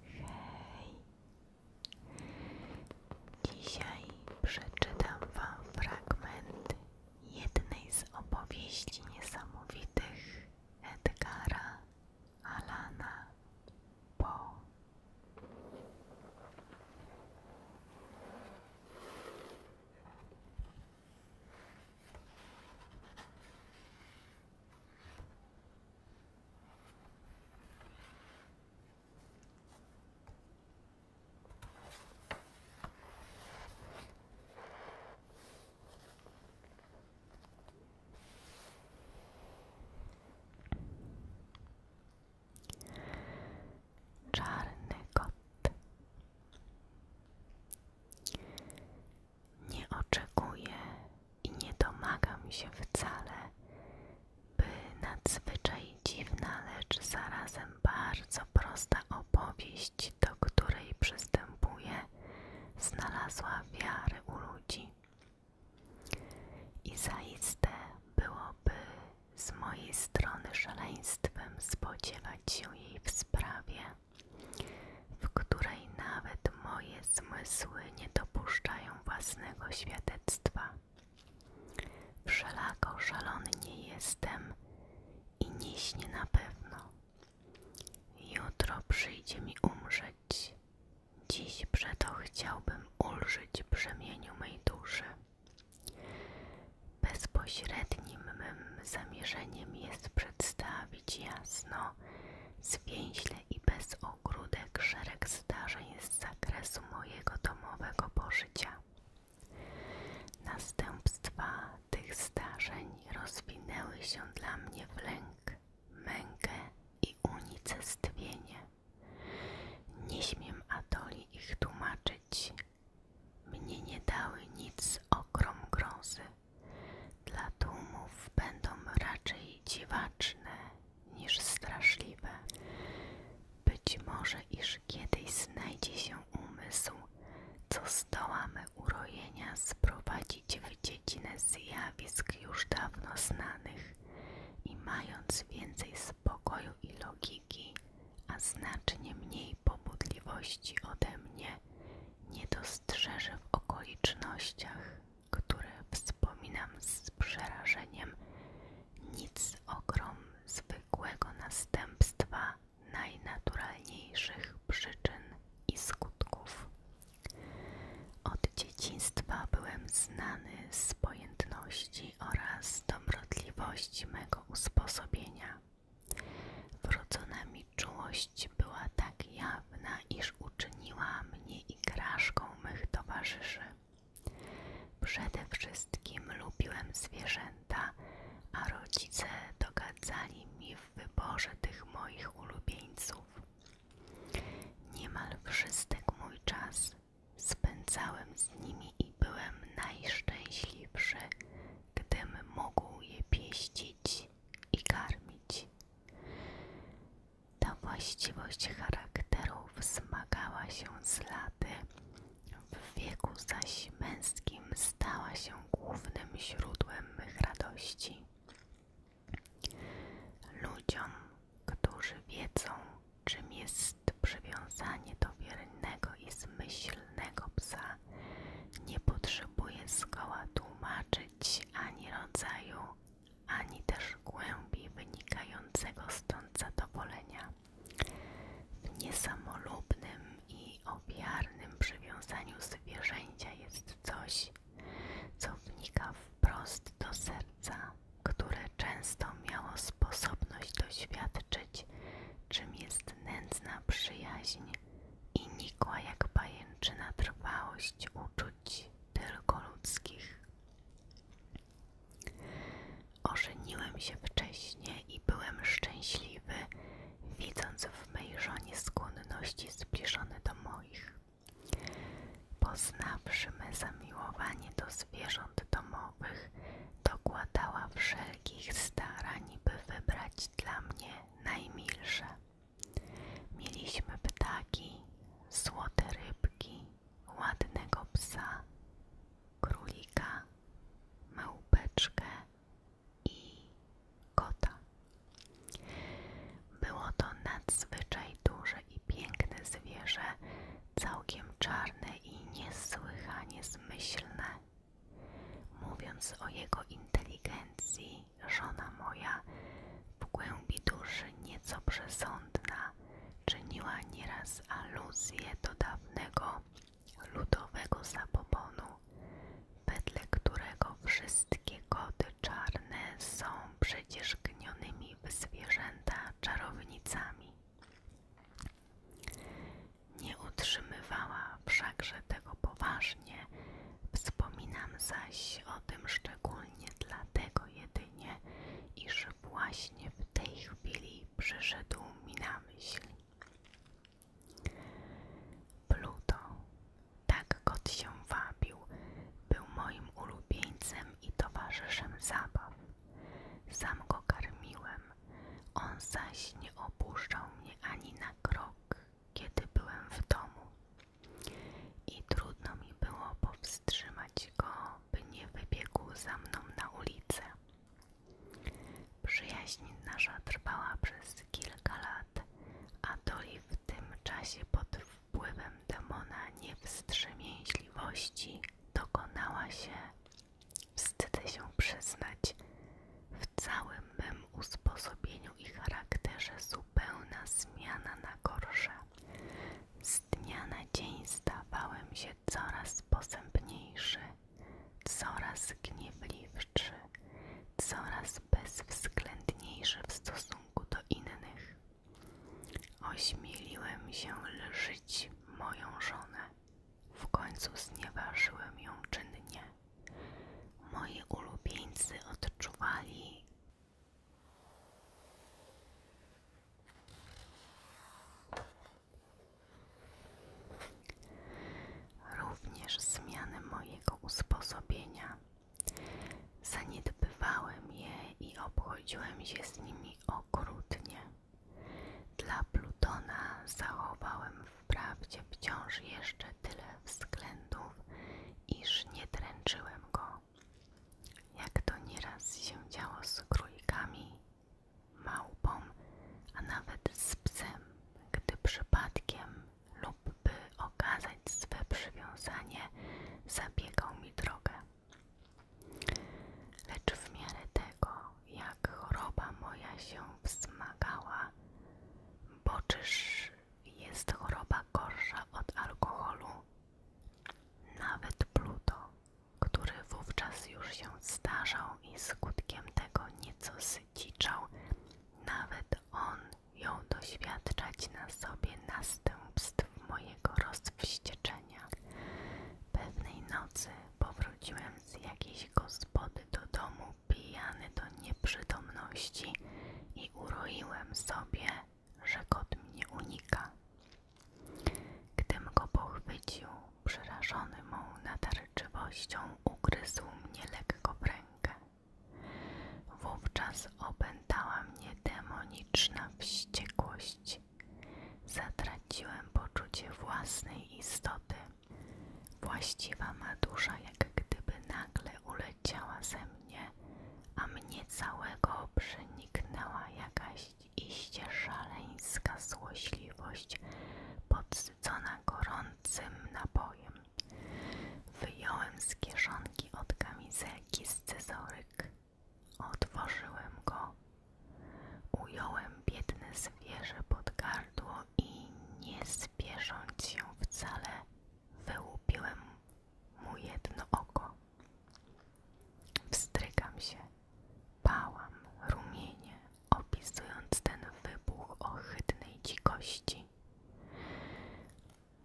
Hej! Dzisiaj przeczytam Wam fragment jednej z opowieści niesamowitych Edgara Alana Poe. Czarny kot nie oczekuję i nie domagam się wcale, by nadzwyczaj dziwna, lecz zarazem bardzo prosta opowieść, do której przystępuję, znalazła wiarę u ludzi. I zaiste byłoby z mojej strony szaleństwem spodziewać się jej w sprawie, w której nawet moje zmysły nie dopuszczają własnego świadectwa. Wszelako szalony nie jestem i nie śnię na pewno. Jutro przyjdzie mi umrzeć. Dziś przeto chciałbym ulżyć brzemieniu mej duszy. Bezpośrednim mym zamierzeniem jest przedstawić jasno, zwięźle i bez ogródek szereg zdarzeń z zakresu mojego domowego pożycia. Następstwa tych zdarzeń rozwinęły się dla mnie w lęk, mękę i unicestwienie. Nie śmiem Atoli ich tłumaczyć. Mnie nie dały nic okrom grozy dla tłumów będą raczej dziwaczne niż straszliwe. Być może, iż kiedyś znajdzie się umysł, co zdołamy urojenia sprowadzić w dziedzinę zjawisk już dawno znanych i mając więcej spokoju i logiki, a znacznie mniej pobudliwości ode mnie nie dostrzeże w okolicznościach, które wspominam z przerażeniem, nic ogrom zwykłego następstwa najnaturalniejszych przyczyn i skutków. Od dzieciństwa byłem znany z pojętności oraz dobrotliwości mego usposobienia. Wrodzona mi czułość była tak jawna, dawna, iż uczyniła mnie igraszką mych towarzyszy. Przede wszystkim lubiłem zwierzęta, a rodzice dogadzali mi w wyborze tych moich ulubieńców. Niemal wszystek mój czas spędzałem z nimi i byłem najszczęśliwszy, gdym mógł je pieścić i karmić. Ta właściwość charakterów wzmagała się z laty, w wieku zaś męskim stała się głównym źródłem mych radości. Ludziom, którzy wiedzą, czym jest przywiązanie do wiernego i zmyślnego psa, nie potrzebuje zgoła tłumaczyć ani rodzaju, ani też głębi wynikającego stąd zadowolenia. W niesamolubnym i ofiarnym przywiązaniu zwierzęcia jest coś, co wnika wprost do serca, które często miało sposobność doświadczyć, czym jest nędzna przyjaźń i nikła jak pajęczyna trwałość uczuć tylko ludzkich. Ożeniłem się wcześniej i byłem szczęśliwy, widząc w mej żonie skłonności zbliżone do moich. Poznawszy me zamiłowanie do zwierząt domowych, dokładała wszelkich starań, by wybrać dla mnie najmilsze. Mieliśmy ptaki, złote rybki, ładnego psa, królika, małpeczkę i kota. Było to nadzwyczaj duże i piękne zwierzę, całkiem czarne i niesłychanie zmyślne. Mówiąc o jego inteligencji, żona moja, w głębi duszy nieco przesądna, czyniła nieraz aluzję do dawnego ludowego zabobonu, wedle którego wszystkie koty czarne są przecież gnionymi w zwierzęta czarownicami. Nie utrzymywała wszakże tego poważnie, wspominam zaś o tym szczególnie szczególnie dlatego jedynie, iż właśnie w tej chwili przyszedł mi na myśl. Pluto, tak kot się wabił, był moim ulubieńcem i towarzyszem zabaw. Sam go karmiłem, on zaś nie opuszczał mnie ani na krok, kiedy byłem w domu i trudno mi było powstrzymać go, by nie wybiegł za mną na ulicę. Przyjaźń nasza trwała przez kilka lat, a Doli w tym czasie pod wpływem demona niewstrzemięźliwości dokonała się, wstydzę się przyznać, w całym mym usposobieniu i charakterze zupełna zmiana na gorsze. Z dnia na dzień stawałem się coraz posępniejszy, coraz gniewliwszy, coraz bezwzględniejszy w stosunku do innych. Ośmieliłem się lżyć moją żonę. W końcu znieważyłem ją czynnie. Moi ulubieńcy odczuwali, Również zmiany mojego usposobienia. Zaniedbywałem je i obchodziłem się z nimi okrutnie. Dla Plutona zachowałem wprawdzie wciąż jeszcze tyle względów, iż nie dręczyłem go jak to nieraz się działo z krójkami, małpą, a nawet z psem, gdy przypadkiem lub by okazać swe przywiązanie, zabiegał mi drogę. Lecz w miarę tego, jak choroba moja się wzmagała, boczysz jest choroba gorsza od alkoholu. Nawet Pluto, który wówczas już się starzał i skutkiem tego nieco syciczał, nawet on jął doświadczać na sobie następstw mojego rozwścieczenia. Pewnej nocy powróciłem z jakiejś gospody do domu pijany do nieprzytomności i uroiłem sobie że kot mnie unika. Gdym go pochwycił, przerażony mą natarczywością, ugryzł mnie lekko w rękę. Wówczas opętała mnie demoniczna wściekłość. Zatraciłem poczucie własnej istoty. Właściwa ma dusza jak gdyby nagle uleciała ze mnie mnie, a mnie całego przeniknęła jakaś iście szaleńska złośliwość, podsycona gorącym napojem. Wyjąłem z kieszonki od kamizelki scyzoryk. Otworzyłem go. Ująłem biedne zwierzę pod gardło i nie spiesząc się wcale, wyłupiłem mu jedno oko. Wstrygam się, pałam rumienie, opisując ten wybuch ohydnej dzikości.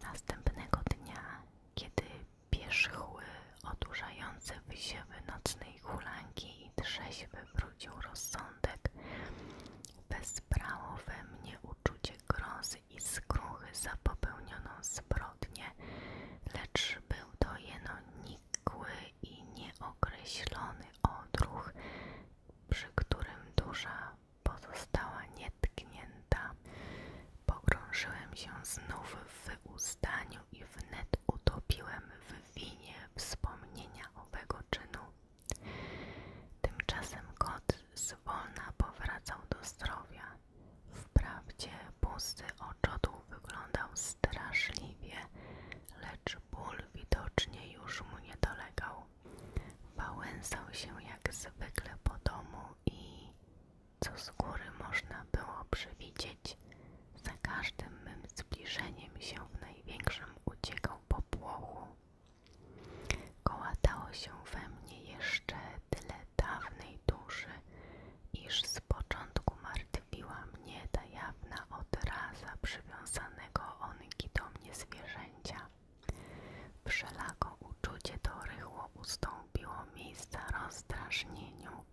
Następnego dnia, kiedy pierzchły odurzające wysiewy nocnej hulanki i trzeźwy wrócił rozsądek, bezbrało we mnie uczucie grozy i skruchy za popełnioną zbrodnię, lecz był to jeno nikły i nieokreślony odruch, przy którym dusza pozostała nietknięta. Pogrążyłem się znów w wyustaniu i wnet utopiłem w winie wspomnienia owego czynu. Tymczasem kot zwolna powracał do zdrowia. Wprawdzie pusty oczodół wyglądał straszliwie, lecz ból widocznie już mu nie dolegał. Wałęsał się jak zwykle po domu i, co z góry można było przewidzieć, za każdym mym zbliżeniem się w największym uciekał po płochu. Kołatało się we mnie jeszcze tyle dawnej duszy, iż z początku martwiła mnie ta jawna odraza przywiązanego onki do mnie zwierzęcia. Wszelako uczucie to rychło ustąpiło miejsca rozdrażnieniu,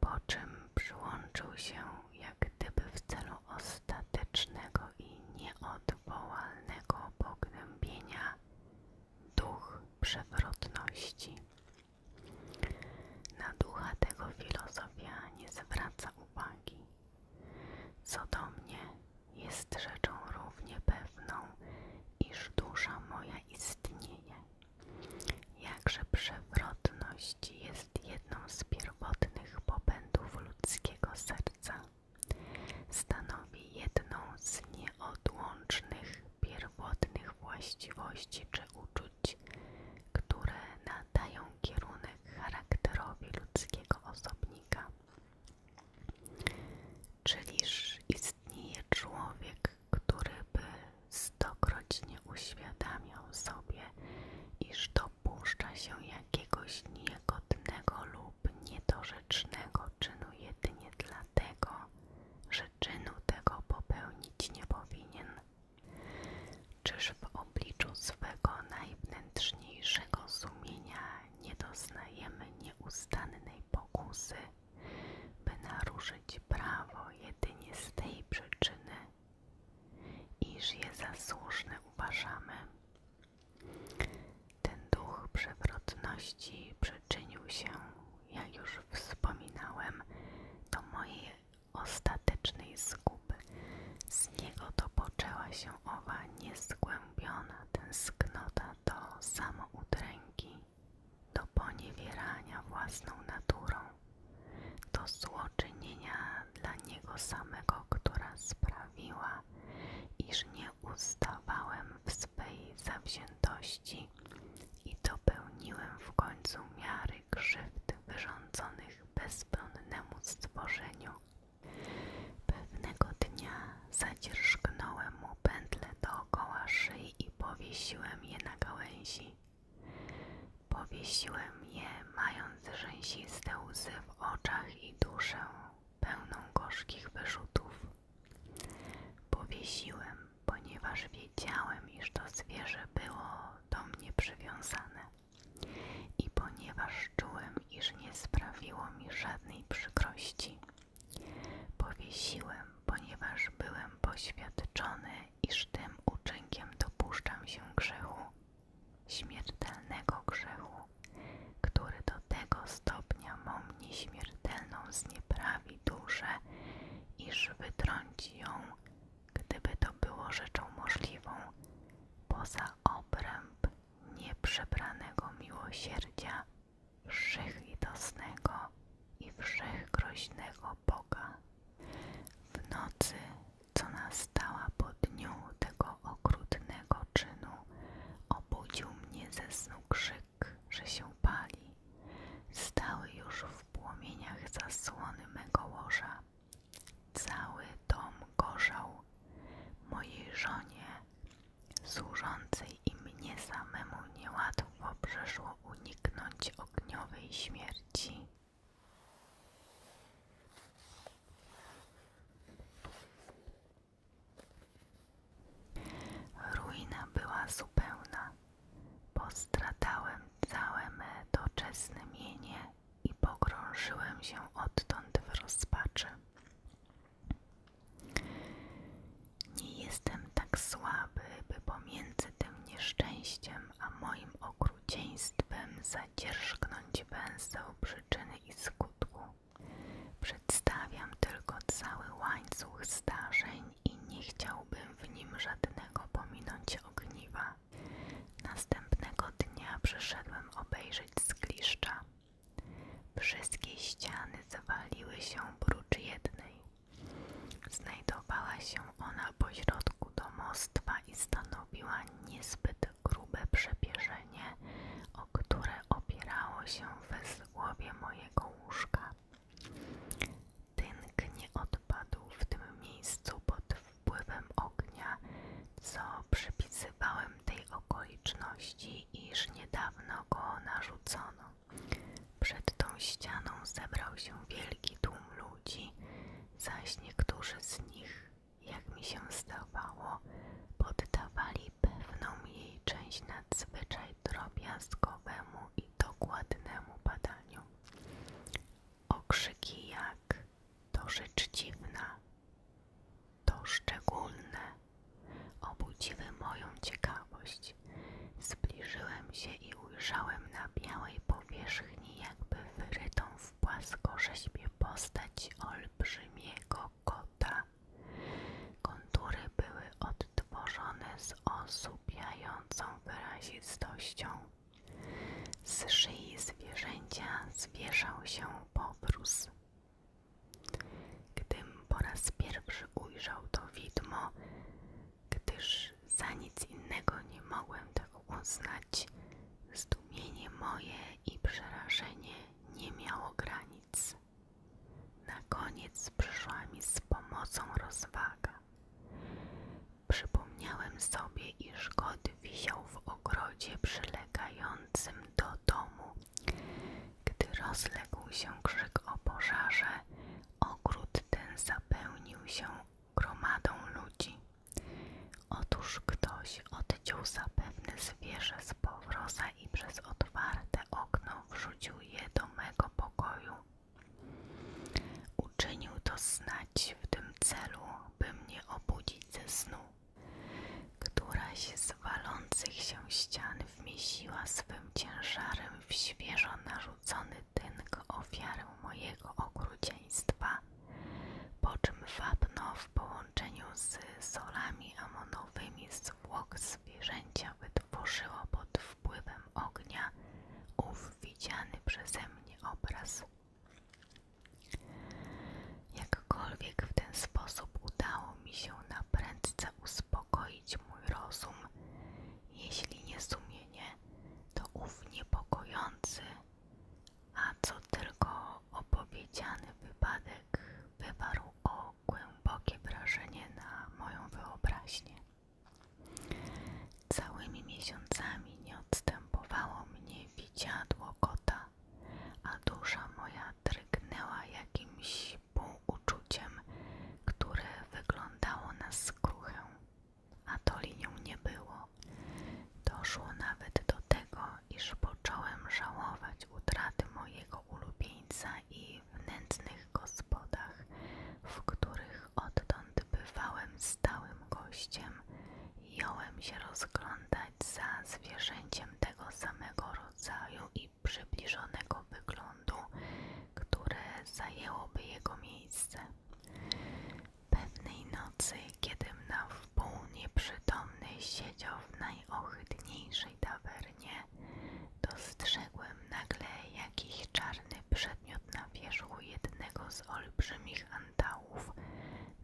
po czym przyłączył się jak gdyby w celu ostatecznego i nieodwołalnego pognębienia duch przewrotności. Na ducha tego filozofia nie zwraca uwagi. Co do mnie, jest rzeczą równie pewną, iż dusza moja istnieje. Jakże przewrotność jest jedną z pierwotnych popędów ludzkiego serca. Stanowi jedną z nieodłącznych pierwotnych właściwości czy uczuć, które nadają kierunek charakterowi ludzkiego osobnika. Czyliż istnieje człowiek, który by stokroć nie uświadamiał sobie, iż dopuszcza się jakiegoś niegodnego lub niedorzecznego czynu jedynie dlatego, że czynu tego popełnić nie powinien. Czyż w obliczu swego najwnętrzniejszego sumienia nie doznajemy nieustannej pokusy, by naruszyć prawo jedynie z tej przyczyny, iż je za słuszne uważamy? Ten duch przewrotności przyczynił się, jak już wspominałem, do mojej ostatecznej zguby. Z niego to poczęła się owa niezgłębiona tęsknota do samoudręki, do poniewierania własną naturą, do złoczynienia dla niego samego, która sprawiła, iż nie ustawałem w swej zawziętości i dopełniłem w końcu miary krzywd wyrządzonych bezbronnemu stworzeniu. Pewnego dnia zadzierżgnąłem mu pętle dookoła szyi i powiesiłem je na gałęzi. Powiesiłem je, mając rzęsiste łzy w oczach i duszę pełną gorzkich wyrzutów. Powiesiłem, ponieważ wiedziałem, iż to zwierzę było do mnie przywiązane i ponieważ czułem, iż nie sprawiło mi żadnej przykrości. Powiesiłem, ponieważ byłem poświadczony, iż tym uczynkiem dopuszczam się grzechu, śmiertelnego grzechu, który do tego stopnia mą nieśmiertelną znieprawi, jej duszę, iż wytrąci ją, gdyby to było rzeczą możliwą, poza obręb nieprzebranego miłosierdzia wszechlitosnego i wszechgroźnego Boga. W nocy, co nastała po dniu tego okrutnego czynu, obudził mnie ze snu krzyk że się pali, stały już w płomieniach zasłony mego łoża. Cały dom gorzał mojej żonie, służącej i mnie samemu niełatwo przeszło uniknąć ogniowej śmierci. Ruina była zupełna. Postradałem całe me doczesne mienie i pogrążyłem się odtąd w rozpaczy. Nie jestem tak słaby, by pomiędzy tym nieszczęściem a moim okrucieństwem zadzierzgnąć węzeł przyczyny i skutku. Przedstawiam tylko cały łańcuch zdarzeń, i nie chciałbym w nim żadnego pominąć ogniwa. Następnego dnia przyszedłem obejrzeć zgliszcza. Wszystkie ściany zawaliły się prócz jednej. Znajdowała się ona pośrodku domostwa i stanowiła niezbyt grube przepierzenie, o które opierało się wezgłowie mojego łóżka. Tynk nie odpadł w tym miejscu pod wpływem ognia, co przypisywałem tej okoliczności, iż niedawno go narzucono. Przed tą ścianą zebrał się wielki tłum ludzi, zaś niektórzy z nich, jak mi się zdawało, poddawali pewną jej część nadzwyczaj drobiazgowemu i dokładnemu badaniu. Okrzyki jak to rzecz dziwna, to szczególne obudziły moją ciekawość. Zbliżyłem się i ujrzałem na białej powierzchni jakby wyrytą w płaskorzeźbie postać olbrzymiego kota. Kontury były od tworzony z osłupiającą wyrazistością. Z szyi zwierzęcia zwieszał się poprós. Gdym po raz pierwszy ujrzał to widmo, gdyż za nic innego nie mogłem tego tak uznać, zdumienie moje i przerażenie nie miało granic. Na koniec przyszła mi z pomocą rozwaga. Przypomniałem sobie, iż kot wisiał w ogrodzie przylegającym do domu. Gdy rozległ się krzyk o pożarze, ogród ten zapełnił się gromadą ludzi. Otóż ktoś odciął zapewne zwierzę z powroza i przez otwarte okno wrzucił je do mego pokoju. Uczynił to znać w tym celu, by mnie obudzić ze snu, któraś z walących się ścian wmiesiła swym ciężarem w świeżo narzucony tynk ofiarę mojego okrucieństwa, po czym wapno w połączeniu z solami amonowymi zwłok zwierzęcia tworzyło pod wpływem ognia ów widziany przeze mnie obraz. Jakkolwiek w ten sposób udało mi się na prędce uspokoić mój rozum, jeśli nie sumienie, to ów niepokojący, a co tylko opowiedziany wypadek wywarł o głębokie wrażenie na moją wyobraźnię. Całymi miesiącami nie odstępowało mnie widziadło kota, a dusza moja drgnęła jakimś półuczuciem, które wyglądało na skruchę, a to linią nie było. Doszło nawet do tego, iż począłem żałować utraty mojego ulubieńca i w gospodach, w których odtąd bywałem stałym gościem, jąłem się rozglądać za zwierzęciem tego samego rodzaju i przybliżonego wyglądu, które zajęłoby jego miejsce. Pewnej nocy, kiedym na wpół nieprzytomny siedział w najohydniejszej tawernie, dostrzegłem nagle jakiś czarny przedmiot na wierzchu jednego z olbrzymich antałów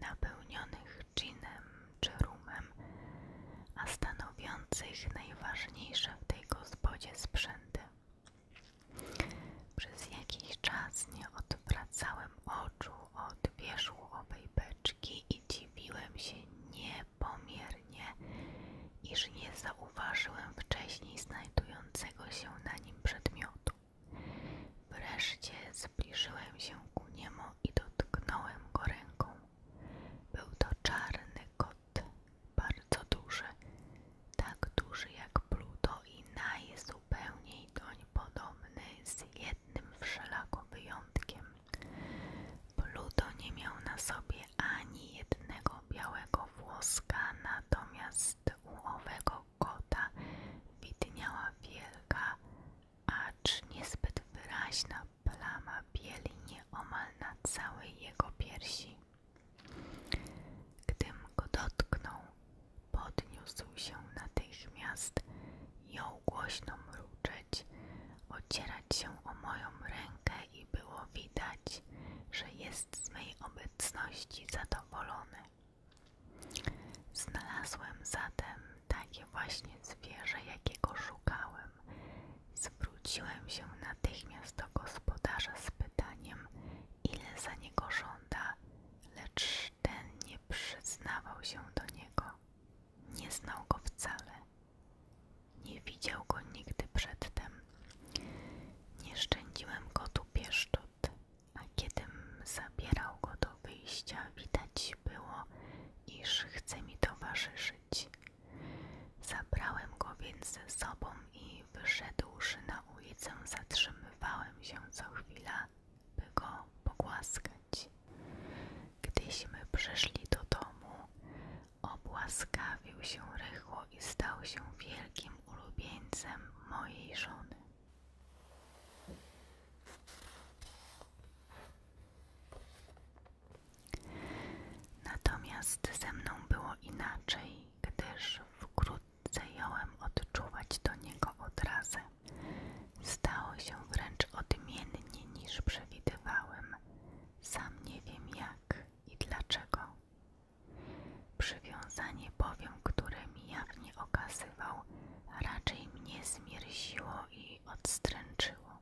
napełnionych ginem czy rumem, a stanowiących najważniejsze w tej gospodzie sprzęty. Przez jakiś czas nie odwracałem oczu od wierzchu owej beczki i dziwiłem się niepomiernie iż nie zauważyłem wcześniej znajdującego się na nim przedmiotu. Wreszcie zbliżyłem się ku niemu i dotknąłem go ręką. Był to czarny kot, bardzo duży, tak duży jak Pluto i najzupełniej doń podobny z jednym wszelako wyjątkiem. Pluto nie miał na sobie ani jednego białego włoska na Natomiast u owego kota widniała wielka, acz niezbyt wyraźna plama bieli nieomal na całej jego piersi. Gdym go dotknął, podniósł się natychmiast, jął głośno mruczeć, ocierać się o moją rękę i było widać, że jest z mej obecności zadowolony. Znalazłem zatem takie właśnie zwierzę, jakiego szukałem. Zwróciłem się natychmiast do gospodarza z pytaniem, ile za niego żąda, lecz ten nie przyznawał się do niego. Nie znał go wcale. Nie widział go nigdy przedtem, nie szczędziłem tu pieszczot, a kiedym zabierał go do wyjścia, widać było, iż chce mi towarzyszyć. Zabrałem go więc ze sobą i wyszedłszy na ulicę, zatrzymywałem się co chwila, by go pogłaskać. Gdyśmy przeszli do domu, Obłaskawił się rychło i stał się wielkim ulubieńcem mojej żony. Natomiast ze mną było inaczej, gdyż wkrótce jąłem odczuwać do niego odrazę. Stało się wręcz odmiennie niż przewidywałem. Sam nie wiem jak i dlaczego. Przywiązanie bowiem, które mi jawnie okazywał, raczej mnie zmierziło i odstręczyło.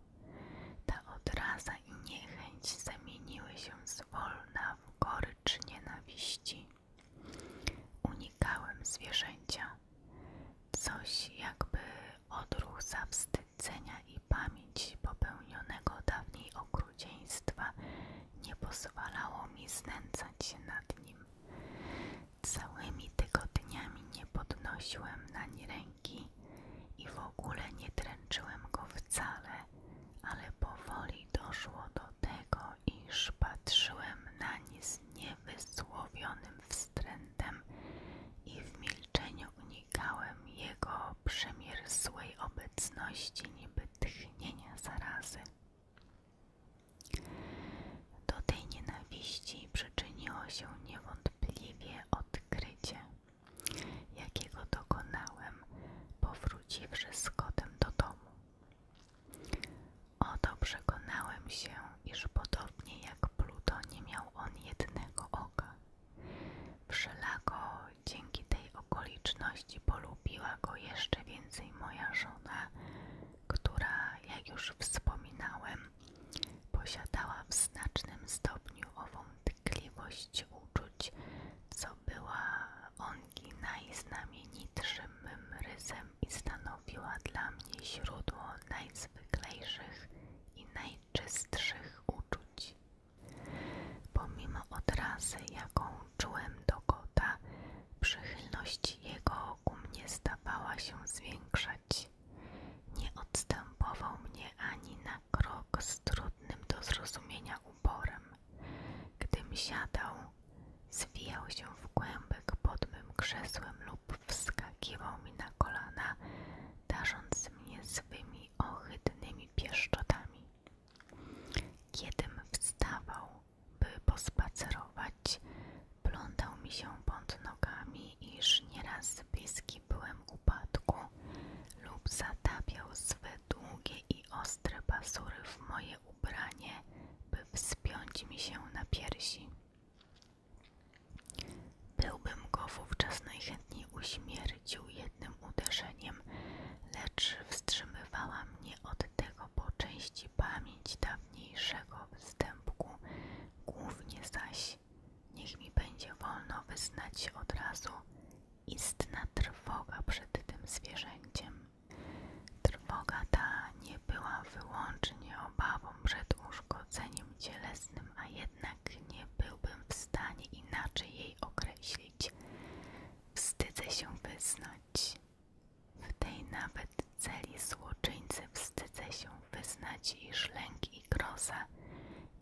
Ta odraza i niechęć zamieniły się zwolna w gorycz nienawiści. Unikałem zwierzęcia. Coś jakby odruch zawstydzenia i pamięć popełnionego dawniej okrucieństwa nie pozwalało mi znęcać się nad nim. Całymi tygodniami nie podnosiłem nań ręki i w ogóle nie dręczyłem go wcale, ale powoli doszło do tego, iż patrzyłem na nie z niewysłowionym wstrętem i w milczeniu unikałem jego przemierzłej obecności, niby tchnienie zarazy. Do tej nienawiści przyczyniło się niewątpliwie odkrycie, jakiego dokonałem, powróciwszy z kotem do domu. Oto przekonałem się, iż podobnie jak Pluto nie miał on jednego oka. Wszelako dzięki tej okoliczności polubiła go jeszcze więcej moja żona, która, jak już wspominałem, posiadała w znacznym stopniu ową tkliwość uczuć, co była ongi najznamienitszym mym rysem i stanowiła dla mnie źródło najzwyklejszych i najczystszych uczuć. Pomimo odrazy, jaką czułem do kota, przychylność jego ku mnie stawała się zwiększać. Nie odstępował mnie ani na krok z trudnym do zrozumienia uporem. Gdym siadał, zwijał się w kłębek pod moim krzesłem lub wskakiwał mi na kolana, darząc mnie swymi ohydnymi pieszczotami. Kiedym wstawał, by pospacerować, plątał mi się pod nogami, iż nieraz bliski byłem upadku lub zatapiał swe długie i ostre pasury w moje ubranie, by wspiąć mi się na piersi. Byłbym go wówczas najchętniej uśmiercił jednym uderzeniem, lecz wstrzymywała mnie od tego po części pamięć dawniejszego występku, głównie zaś niech mi będzie wolno wyznać od razu istna trwoga przed tym zwierzęciem. Trwoga ta nie była wyłącznie obawą przed uszkodzeniem cielesnym, a jednak nie byłbym w stanie inaczej jej określić. Wstydzę się wyznać. W tej nawet celi złoczyńcy wstydzę się wyznać, iż lęk i grozę,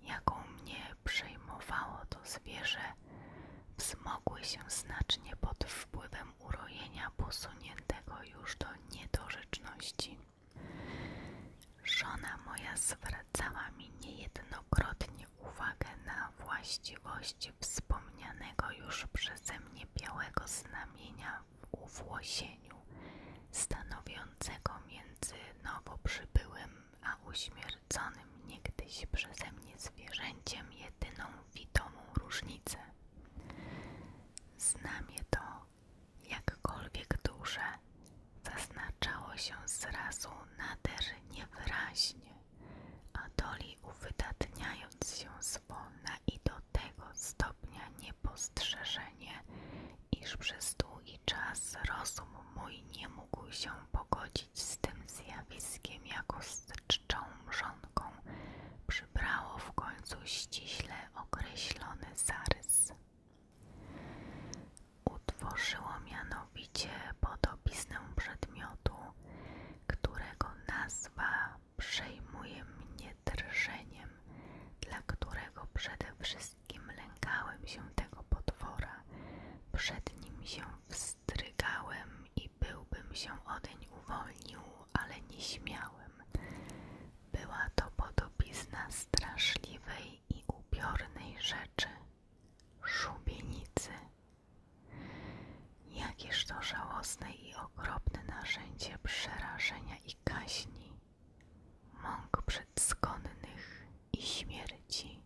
jaką mnie przejmowało to zwierzę, wzmogły się znacznie pod wpływem urojenia posuniętego już do niedorzeczności. Żona moja zwracała mi niejednokrotnie uwagę na właściwość wspomnianego już przeze mnie białego znamienia w uwłosieniu, stanowiącego między nowo przybyłym a uśmierconym niegdyś przeze mnie zwierzęciem jedyną widomą różnicę. Znamie to, jakkolwiek duże, zaznaczało się zrazu nader niewyraźnie, Atoli uwydatniając się zwolna i do tego stopnia niepostrzeżenie, iż przez długi czas rozum mój nie mógł się pogodzić z tym zjawiskiem, jako z czczą mrzonką przybrało w końcu ściśle określony zarys. Utworzyło mianowicie podobiznę przedmiotu, którego nazwa przejmuje mnie drżeniem, dla którego przede wszystkim lękałem się tego potwora, przed nim się wstrygałem i byłbym się odeń uwolnił, ale nie śmiałem. Była to podobizna straszliwej i ubiornej rzeczy, szubienicy. Jakież to żałosne i okropne narzędzie przerażenia i kaźni, mąk przedskonnych i śmierci.